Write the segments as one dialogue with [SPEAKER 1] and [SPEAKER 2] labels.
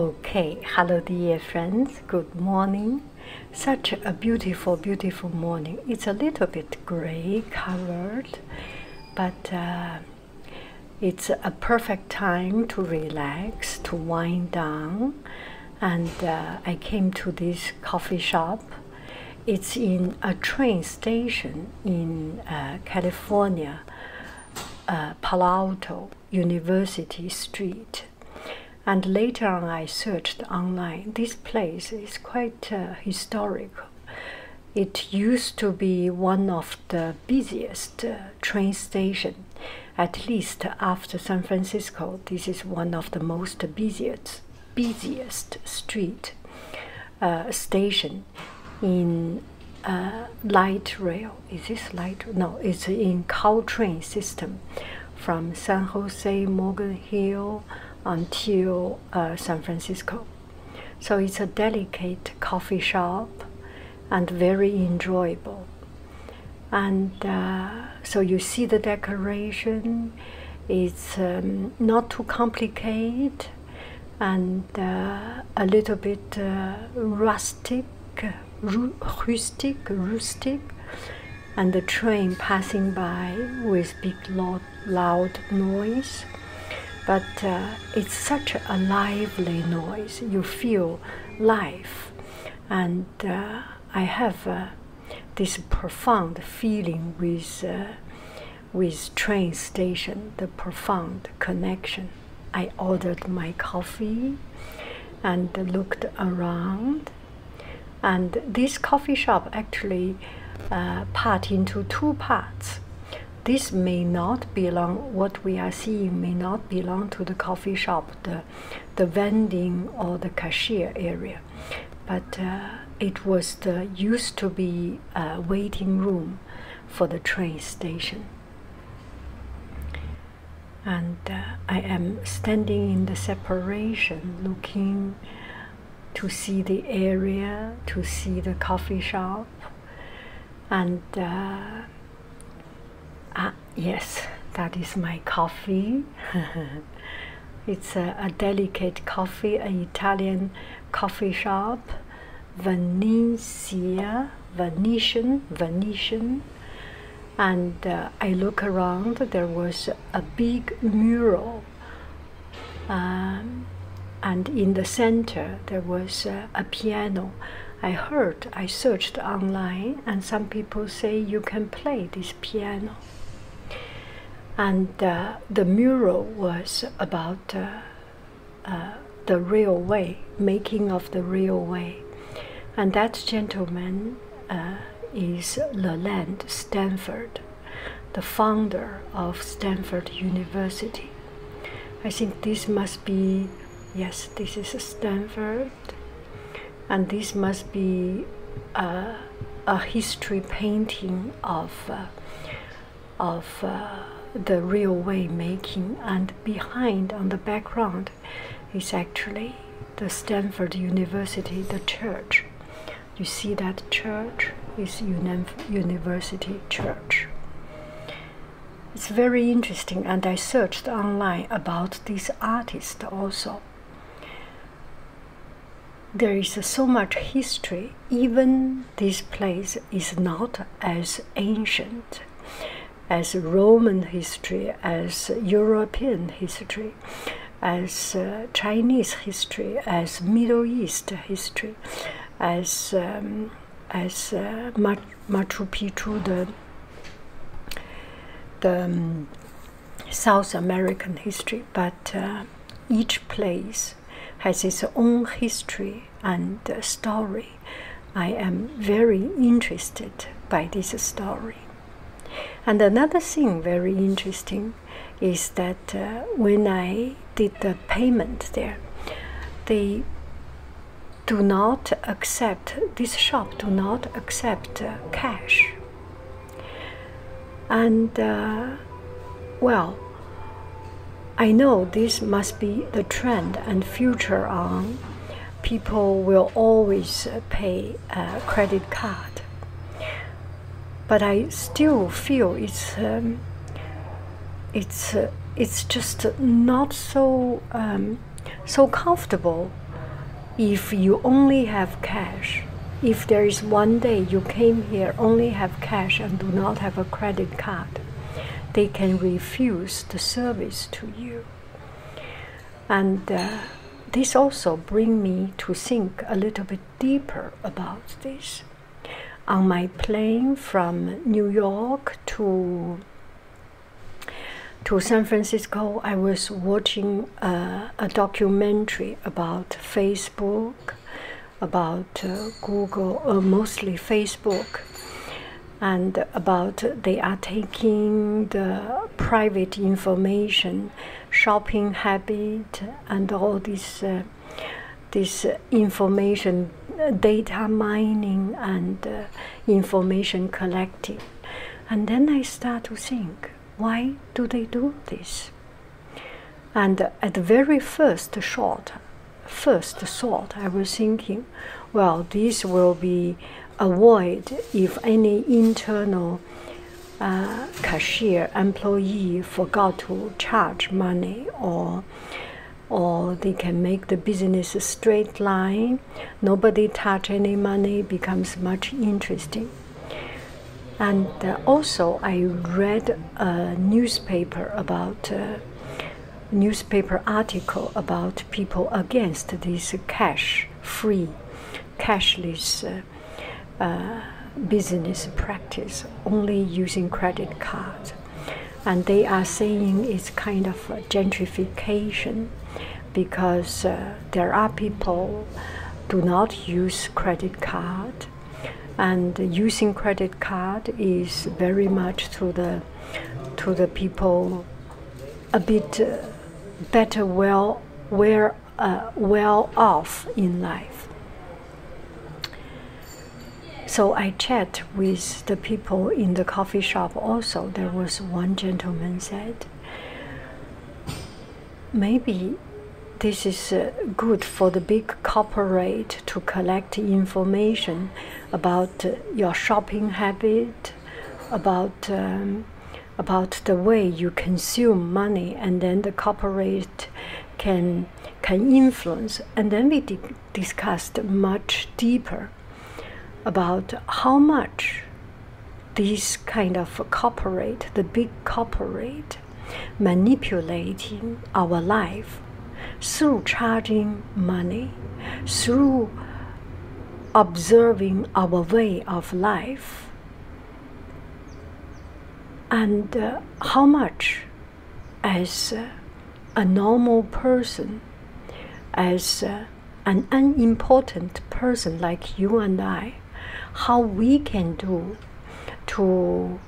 [SPEAKER 1] Okay, hello dear friends, good morning. Such a beautiful, beautiful morning. It's a little bit gray covered, but uh, it's a perfect time to relax, to wind down. And uh, I came to this coffee shop. It's in a train station in uh, California, Palo Alto. University Street. And later on, I searched online. This place is quite uh, historical. It used to be one of the busiest uh, train station. At least after San Francisco, this is one of the most busiest, busiest street uh, station in in uh, light rail. Is this light? No, it's in Caltrain system from San Jose, Morgan Hill until uh, San Francisco. So it's a delicate coffee shop and very enjoyable. And uh, so you see the decoration. It's um, not too complicated, and uh, a little bit uh, rustic, rustic, rustic, and the train passing by with big loud, noise. But uh, it's such a lively noise. You feel life, and I have this profound feeling with. with train station the profound connection I ordered my coffee and looked around. And this coffee shop actually uh, part into two parts. This may not belong, what we are seeing may not belong to the coffee shop, the, the vending or the cashier area. But uh, it was the used to be uh, waiting room for the train station and uh, I am standing in the separation looking to see the area, to see the coffee shop, and uh, ah, yes, that is my coffee. it's a delicate coffee, an Italian coffee shop Venetia, Venetian, Venetian. And uh, I look around, there was a big mural. Um, and in the center, there was a piano. I heard, I searched online, and some people say you can play this piano. And uh, the mural was about uh, the real way, making of the real way. And that gentleman uh, is Leland Stanford, the founder of Stanford University. I think this must be, yes, this is Stanford, and this must be uh, a history painting of uh, of uh, the railway making and behind on the background is actually the Stanford University, the church. You see that church is University Church. It's very interesting, and I searched online about this artist also. There is so much history, even this place is not as ancient as Roman history, as European history, as uh, Chinese history, as Middle East history, as um, as uh, Machu Picchu, the the um, South American history, but uh, each place has its own history and story. I am very interested by this story. And another thing very interesting is that uh, when I did the payment there, they do not accept this shop do not accept uh, cash. And uh, well, I know this must be the trend and future on. People will always pay a credit card. But I still feel it's um, it's uh, it's just not so um, so comfortable if you only have cash. If there is one day you came here only have cash and do not have a credit card, they can refuse the service to you. And uh, this also bring me to think a little bit deeper about this. On my plane from New York to to San Francisco, I was watching uh, a documentary about Facebook, about uh, Google, uh, mostly Facebook, and about they are taking the private information, shopping habit, and all this uh, this information, data mining, and information collecting. And then I start to think, why do they do this? And at the very first shot, first thought, I was thinking, well, this will be avoided if any internal uh, cashier employee forgot to charge money or or they can make the business a straight line nobody touch any money becomes much interesting and uh, also i read a newspaper about uh, newspaper article about people against this cash-free, cashless uh, uh, business practice, only using credit cards, and they are saying it's kind of gentrification because there are people do not use credit card and using credit card is very much to the to the people a bit uh, better well where uh, well off in life so i chat with the people in the coffee shop also there was one gentleman said maybe this is uh, good for the big cooperate to collect information about uh, your shopping habit, about um, about the way you consume money, and then the corporate can can influence. And then we discussed much deeper about how much this kind of corporate, the big corporate, manipulating our life through charging money, through observing our way of life, and uh, how much as uh, a normal person, as uh, an unimportant person like you and I, how we can do to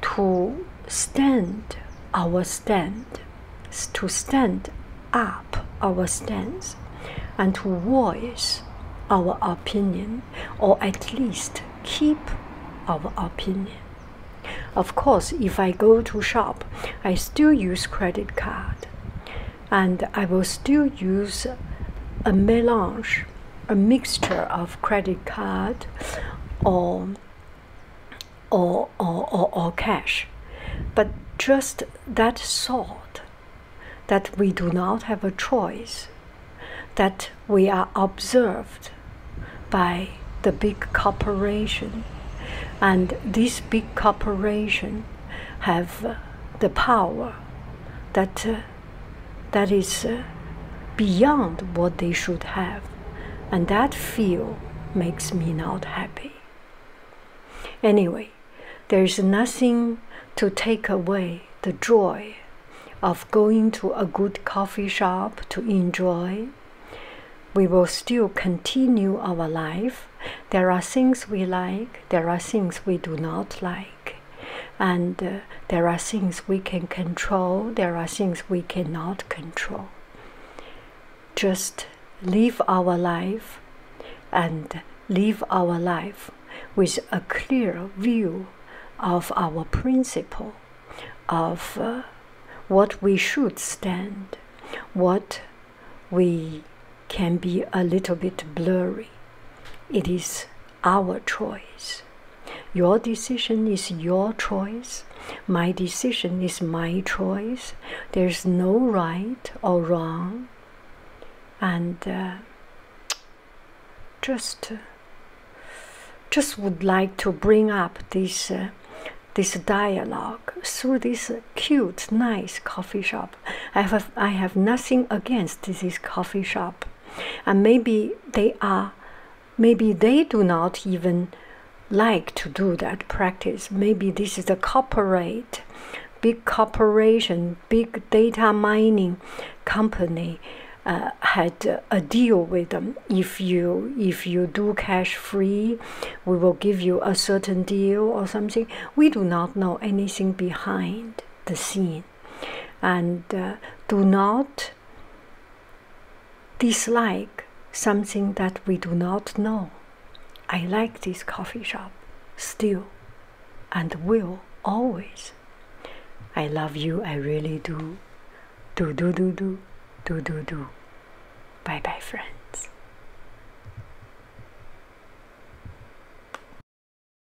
[SPEAKER 1] to stand our stand, to stand up our stance, and to voice our opinion, or at least keep our opinion. Of course, if I go to shop, I still use credit card, and I will still use a melange a mixture of credit card or or, or, or, or cash, but just that thought that we do not have a choice, that we are observed by the big corporation, and this big corporation have the power that uh, that is uh, beyond what they should have. And that feel makes me not happy. Anyway, there is nothing to take away the joy of going to a good coffee shop to enjoy. We will still continue our life. There are things we like, there are things we do not like and uh, there are things we can control, there are things we cannot control. Just live our life and live our life with a clear view of our principle, of uh, what we should stand, what we can be a little bit blurry. It is our choice. Your decision is your choice. My decision is my choice. There's no right or wrong. And uh, just, uh, just would like to bring up this, uh, this dialogue through this cute, nice coffee shop. I have, I have nothing against this coffee shop and maybe they are maybe they do not even like to do that practice maybe this is a corporate big corporation big data mining company uh, had a deal with them. If you if you do cash free, we will give you a certain deal or something. We do not know anything behind the scene and uh, do not dislike something that we do not know. I like this coffee shop still and will always. I love you, I really do. Do, do, do, do, do, do, do. Bye bye, friends.